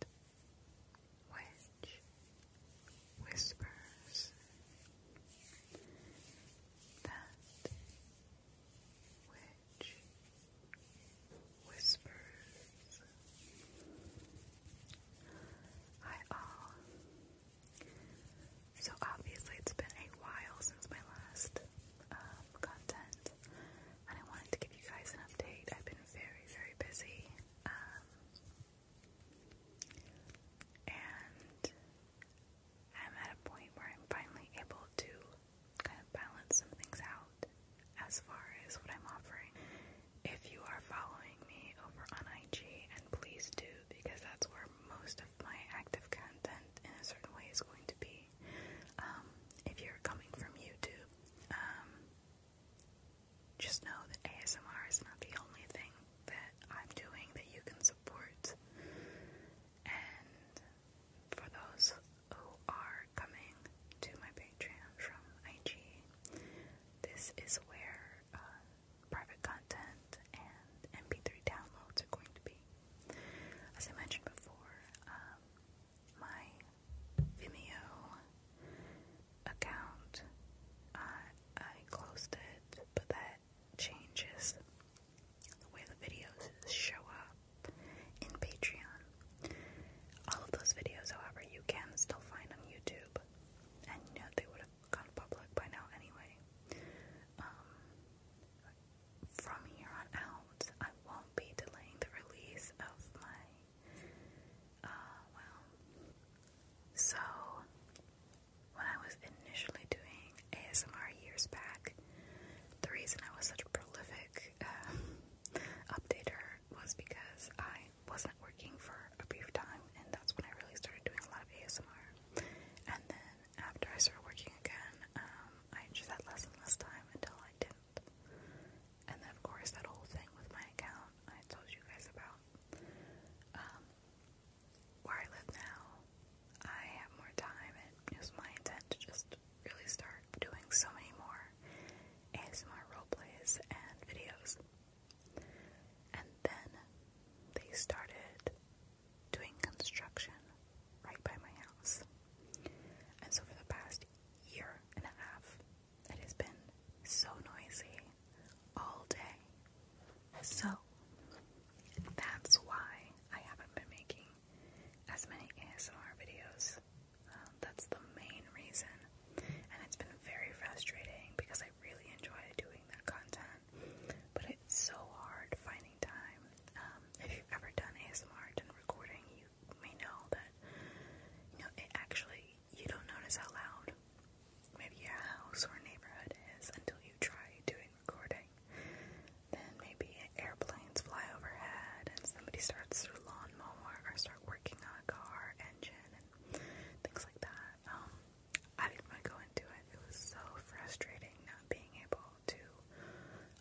that which whispers, that which whispers. Hi all. Uh, so obviously it's been a while since my last um, content. I wanted to give you guys an update. I've been very, very busy, um, and I'm at a point where I'm finally able to kind of balance some things out as far as what I'm offering. If you are following me over on IG, and please do, because that's where most of my active content in a certain way is going to be. Um, if you're coming from YouTube, um, just know that ASMR is not the only thing that I'm doing that you can support. And for those who are coming to my Patreon from IG, this is where uh, private content and MP3 downloads are going to be. As I mentioned before, um, my Vimeo account. I closed it, but that changes the way the videos show up in Patreon. All of those videos, however, you can still find on YouTube, and you know, they would have gone public by now anyway. Um, from here on out, I won't be delaying the release of my, uh, well, so when I was initially doing ASMR years back, the reason I was such a prolific um, updater was because I wasn't working for a brief time, and that's when I really started doing a lot of ASMR. And then after I started working again, um, I just had less and less time until I didn't and then, of course, that whole thing with my account I told you guys about. Um, where I live now, I have more time, and it was my intent to just really start doing so many more ASMR roleplays and videos. And then they started doing construction right by my house. And so for the past year and a half, it has been so noisy all day. So that's why I haven't been making as many ASMR videos. Um, that's the main reason. And it's been very frustrating because I really enjoy doing that content, but it's so hard finding time. Um, if you've ever done ASMR, and recording, you may know that you know it actually you don't notice how loud maybe your house or neighborhood is until you try doing recording. Then maybe airplanes fly overhead and somebody starts their lawn mower or start working on a car engine and things like that. Um, I didn't want to go into it. It was so frustrating not being able to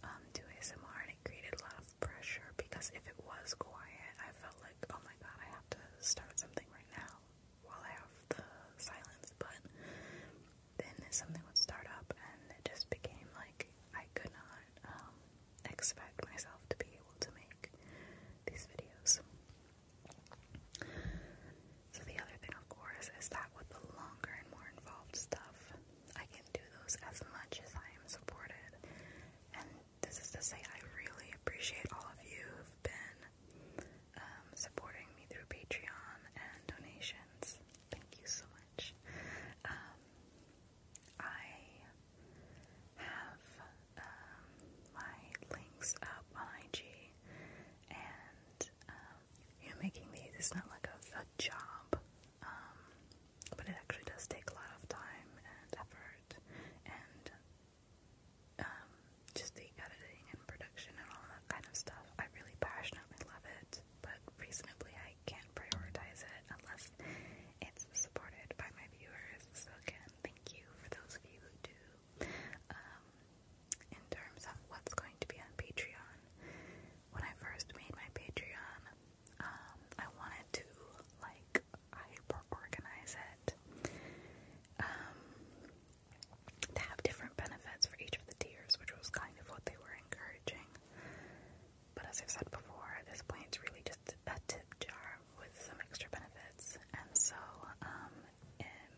um, do ASMR, and it created a lot of pressure because if it was quiet, I felt like, oh my god, I have to start something right now while I have the silence. But then something would start up, and it just became like I could not um, expect myself to be able to make these videos. So the other thing, of course, is that with the longer and more involved stuff, I can do those as much as I am supported. And this is to say, I really appreciate all of you who've been um, supporting me through Patreon and donations. Thank you so much. Um, I have um, my links up on IG, and you know, making these is not like a, a job um, but it actually does take a lot of time and effort and um, just the editing and production and all that kind of stuff. I really passionately love it, but reasonably I can't prioritize it unless it's supported by my viewers. So again, thank you for those of you who do. Um, in terms of what's going to be on Patreon, when I first made my Patreon, um, I wanted to like hyper organize it. Um, to have different benefits for each of the tiers, which was kind of what they were encouraging. But as I've said before, at this point, it's really just a tip jar with some extra benefits. And so, um,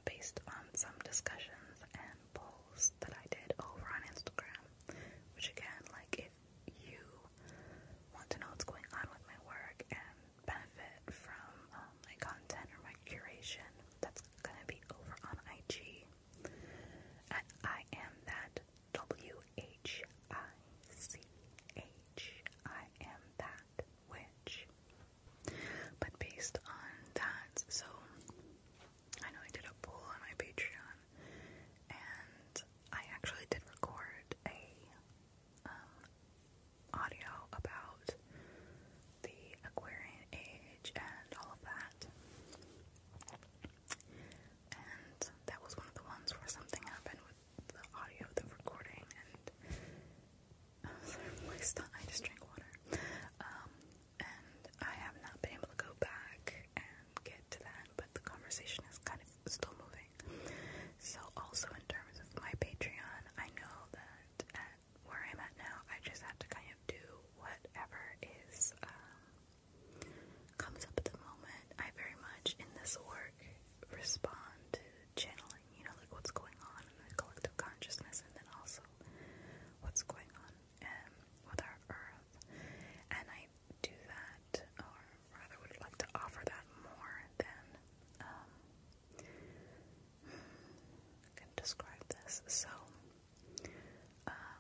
based on some discussions and polls that I did over on Instagram, which again, like, if you want to know what's going on with my work and benefit from um, my content or my curation, that's going to be over on IG. And I am that W H I C H. I am that witch. But based on that, so I know I did a poll on my Patreon, and I actually did record a um, audio about the Aquarian age and all of that. And that was one of the ones where something happened with the audio, the recording, and I was like, I just drank water. Um, and I have not been able to go back and get to that, but the conversation is kind of still moving. So, also in terms of my Patreon, I know that where I'm at now, I just have to kind of do whatever is um, comes up at the moment. I very much in this work respond to channeling, you know, like what's going on in the collective consciousness, and then also what's going on um, with our earth. And I do that, or rather would like to offer that more than um, I describe this. So, um,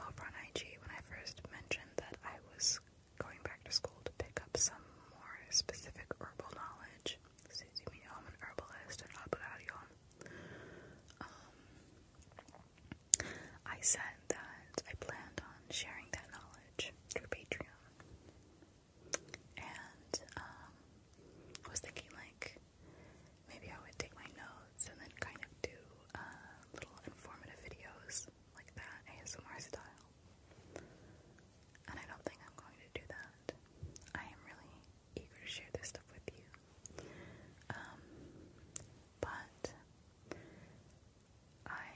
over on IG, when I first mentioned that I was going back to school to pick up some more specific herbal knowledge, since you know i herbalist and all that, I said that I planned on sharing that knowledge through Patreon. And I um, was thinking like maybe I would take my notes and then kind of do uh, little informative videos like that, ASMR style. And I don't think I'm going to do that. I am really eager to share this stuff with you. Um, but I,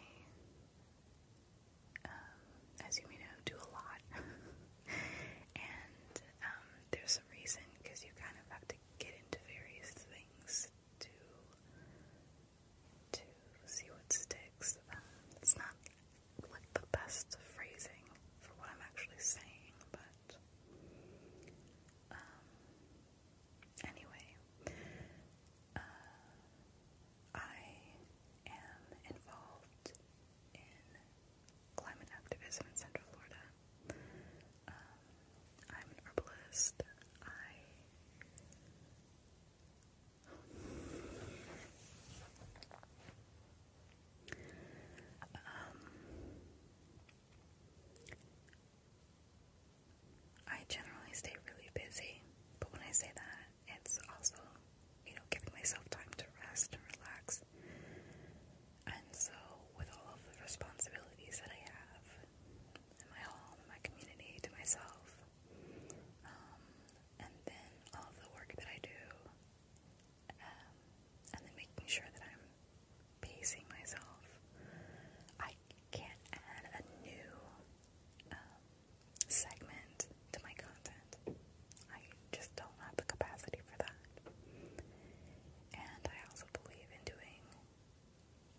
um, as you may know, do a lot, and um, there's a reason because you kind of have to get into various things to to see what sticks. Um, it's not like the best phrasing for what I'm actually saying, but um, Anyway, uh, I am involved in climate activism in Central Florida. Um, I'm an herbalist. I I generally stay really busy, but when I say that, it's also, you know, giving myself time to rest and relax. And so, with all of the responsibilities that I have in my home, in my community, to myself, um, and then all of the work that I do, um, and then making sure that I'm pacing myself. I can't add a new um, segment to my content. I just don't have the capacity for that. And I also believe in doing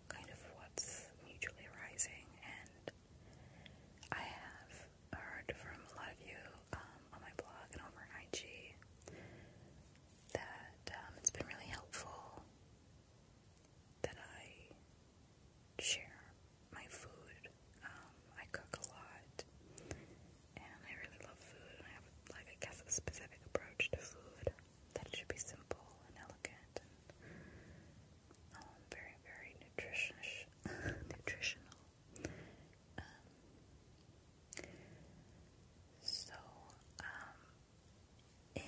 kind of what's mutually arising, and I have heard from a lot of you um, on my blog and over IG that um, it's been really helpful that I share my food. Um, I cook a lot, and I really love food, and I have, like, I guess, a specific approach to food that it should be simple and elegant and um, very, very nutritious, nutritional. Um, so, in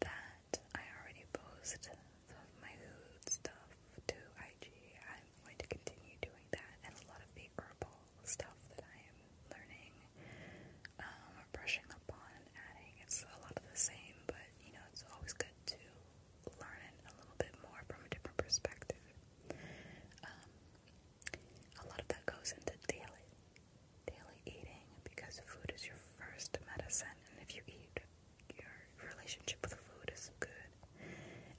that I already post some of my food stuff to IG. I'm going to continue doing that and a lot of the herbal stuff that I am learning, um, or brushing up on adding. It's a lot of the same, but you know, it's always good to learn it a little bit more from a different perspective. Um, a lot of that goes into daily, daily eating because food is your first medicine, and if you eat, your relationship with food is good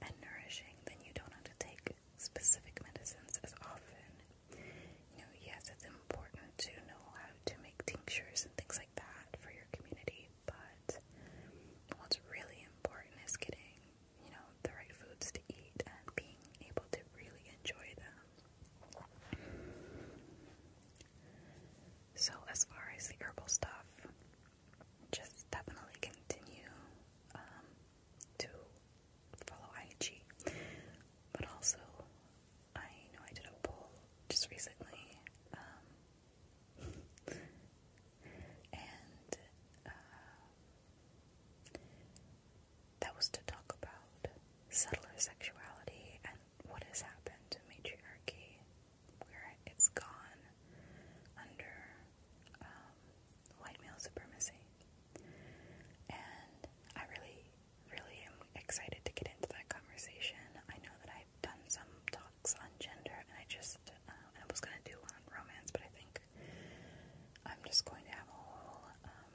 and nourishing, then you don't have to take specific medicines as often. You know, yes, it's important to know how to make tinctures and things like that for your community, but what's really important is getting, you know, the right foods to eat and being able to really enjoy them. So, as far as the herbal stuff, just definitely continue um, to follow IG. But also, I know I did a poll just recently, um, and uh, that was to talk about settler sexuality and what has happened to matriarchy, where it's gone under um, white male supremacy. And I really, really am excited to get into that conversation. I know that I've done some talks on gender, and I just uh, I was going to do on romance, but I think I'm just going to have a whole um,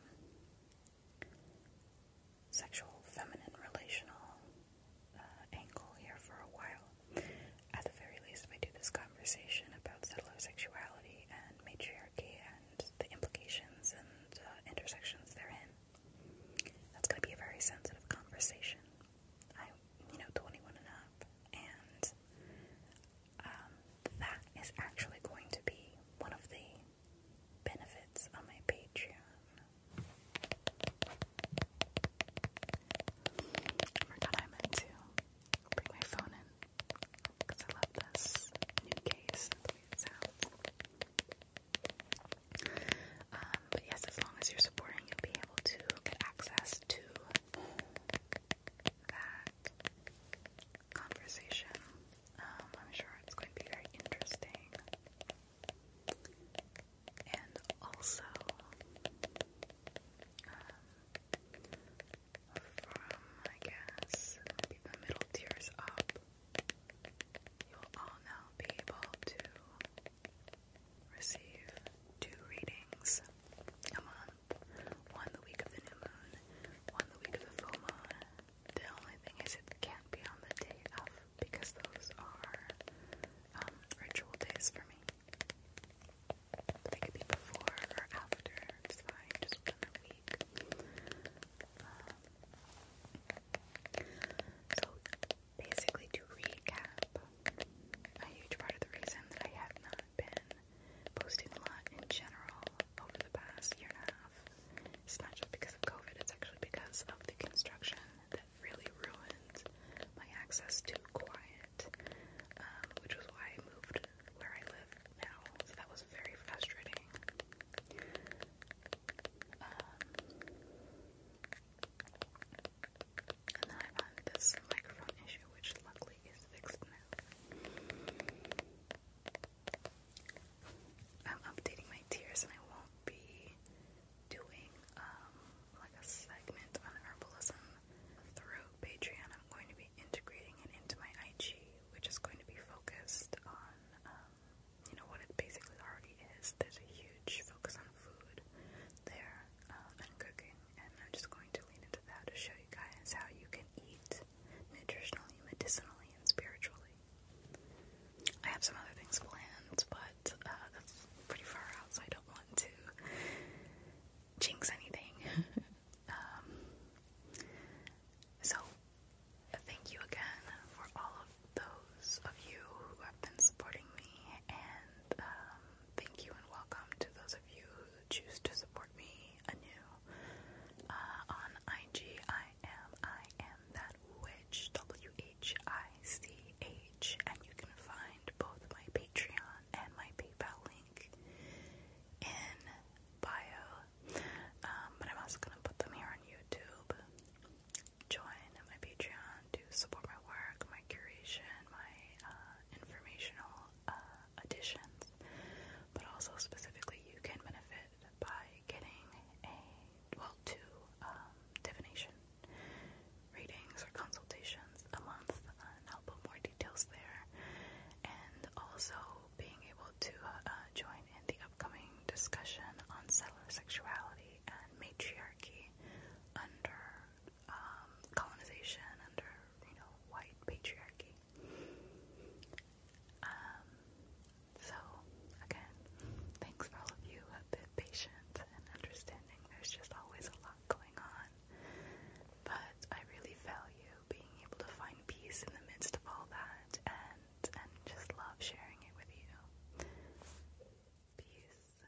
sexual, feminine, relational uh, angle here for a while. At the very least, we do this conversation about settler sexuality and matriarchy and the implications and uh, intersections therein. That's going to be a very sensitive conversation. I'm, you know, 21 and up, and um, that is actually going to be one of the benefits on my Patreon. forgot I meant to bring my phone in because I love this new case. Um, but yes, as long as you're supporting, you'll be able to get access to that conversation. Um, I'm sure it's going to be very interesting. And also, um, from I guess maybe the middle tiers up, you'll all now be able to receive two readings a month one the week of the new moon, one the week of the full moon, the only thing is, it can't be on the day of because those are um, ritual days for me. They could be before or after, it's fine, just within the week. Um, so, basically, to recap, a huge part of the reason that I have not been posting a lot in general over the past year and a half. It's not just because of COVID, it's actually because of the construction that really ruined my access to quiet, um, which was why I moved where I live now. So that was very frustrating. Um, and then I had this microphone issue, which luckily is fixed now. I'm updating my tiers and I won't be doing um, like a segment on herbalism through Patreon. I'm going to be integrating it into my IG, which is going to be focused on um, you know what it basically already is. There's a huge focus on food there uh, and cooking, and I'm just going to lean into that to show you guys how you can eat nutritionally, medicinally, and spiritually. I have some other things planned, but uh, that's pretty far out, so I don't want to jinx anything. Um, so, thank you again for all of those of you who have been supporting me, and um, thank you and welcome to those of you who choose to support me anew uh, on IG. I am, I that witch, W H I C H, and you can find both my Patreon and my PayPal link in bio. Um, but I'm also gonna put them here on YouTube. Join my Patreon to support my work, my curation, my uh, informational uh, additions but also specifically you can benefit by getting a well two um, divination readings or consultations a month, and I'll put more details there. And also being able to uh, join in the upcoming discussion on settler sexuality and matriarchy under um, colonization, under you know white patriarchy. Um, so, again, thanks for all of you who patient and understanding. There's just always a lot going on. But I really value being able to find peace in the midst of all that and, and just love sharing it with you. Peace.